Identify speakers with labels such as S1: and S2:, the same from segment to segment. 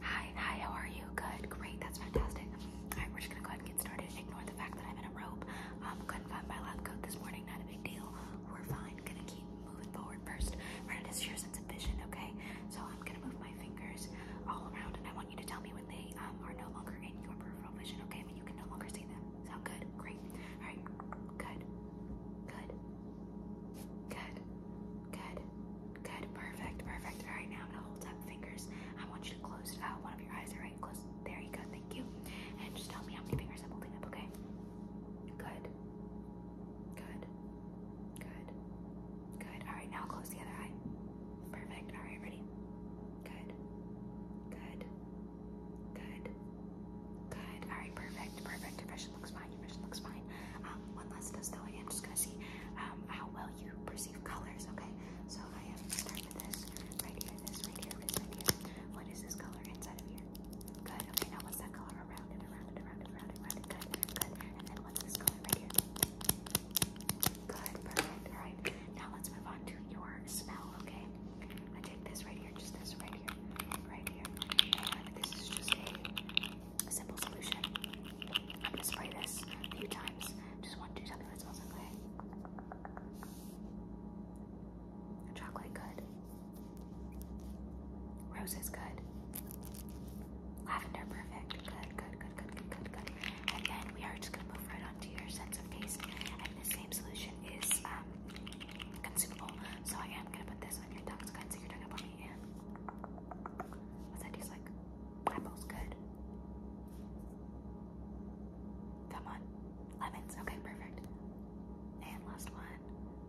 S1: Hi, hi, how are you? Good, great, that's fantastic. Alright, we're just gonna go ahead and get started. Ignore the fact that I'm in a robe. Um, couldn't find my lab coat this morning, not a big deal. We're fine, gonna keep moving forward first. We're gonna your sense of vision, okay? So I'm gonna move my fingers all around and I want you to tell me when they um, are no longer in your peripheral vision, okay? When you can no longer see them. Sound good? Great. Alright, good, good, good. Good. Good. Perfect. Perfect. All right, now I'm going to hold up fingers. I want you to close uh, one of your eyes. All right, close. There you go. Thank you. And just tell me how many fingers I'm holding up, okay? Good. Good. Good. Good. All right, now close the other eye. Perfect. All right, ready? Good. Good. Good. Good. All right. Perfect. Perfect. Your vision looks fine. Your vision looks fine. Um, one last test though. I am just gonna see um, how well you perceive colors. Okay. So I am gonna start with this right here. This right here. This right here. What is this color inside of here? Good. Okay. Now what's that color around it? Around it. Around it. Around it. Around it. Good. Good. And then what's this color right here? Good. Perfect. All right. Now let's move on to your smell. Okay. I take this right right here, just this right here, right here. And this is just a, a simple solution. I'm gonna spray this a few times. Just want to do something that smells okay. Chocolate good. Roses good. Lavender perfect. Good, good, good, good, good, good, good. And then we are just gonna move right on to your sense of taste. And the same solution is um consumable. So I am gonna put this on your tongue. It's good, so you're talking about me. And what's that taste like? Apples, good. Come on, lemons. Okay, perfect. And last one,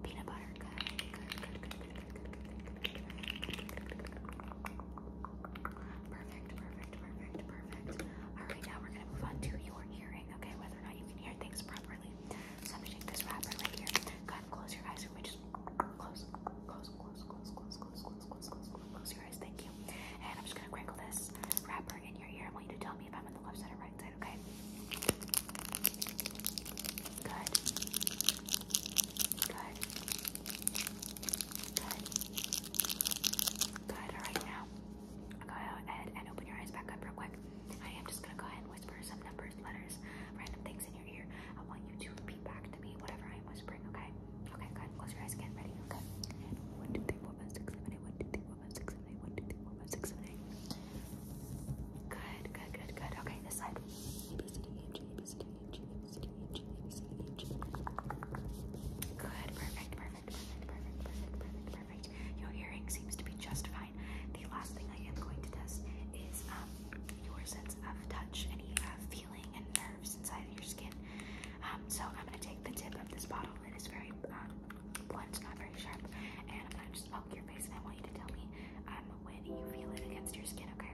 S1: peanut butter. Good, good, good, good, good. Perfect, perfect, perfect, perfect. All right, now we're gonna move on to your ear okay, whether or not you can hear things properly. So I'm take this wrapper right here. Go close your eyes for Just close, close, close, close, close, close, close, close, close, close your eyes. Thank you. And I'm just gonna crinkle this wrapper in your ear. I want you to tell me if I'm on the left side or right side, okay? Good. Good. Good. Good. All right now. Go ahead and open your eyes back up real quick. I am just gonna go ahead and whisper some numbers, letters, random things in your ear. I want you to repeat back to me whatever I'm whispering, okay? Okay, go ahead close your eyes again. Ready? Okay. One, two, three, four, five, six, seven, eight. One, two, three, four, five, six, seven, eight. One, two, three, four, five, six, seven, eight. Good, good, good, good. Okay, this side. A B C D E F G A B C D E F G A B Good, perfect, perfect, perfect, perfect, perfect, perfect, Your earring seems to be just fine. The last thing I am going to test is um, your sense of touch, any uh, feeling and nerves inside of your skin. Um, so I'm going to take the tip of this bottle. It is very um, blunt, not very sharp, and I'm going to just poke your face, and I want you to tell me um, when you feel it against your skin, okay?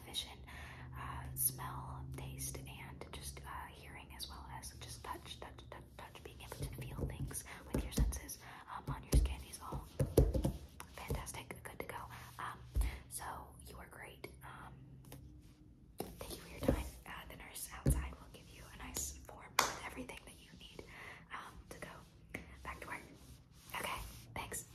S1: vision, uh, smell, taste, and just uh, hearing as well as just touch, touch, touch, touch, being able to feel things with your senses um, on your skin is all fantastic, good to go. Um, so you are great. Um, thank you for your time. Uh, the nurse outside will give you a nice form with everything that you need um, to go back to work. Okay, thanks.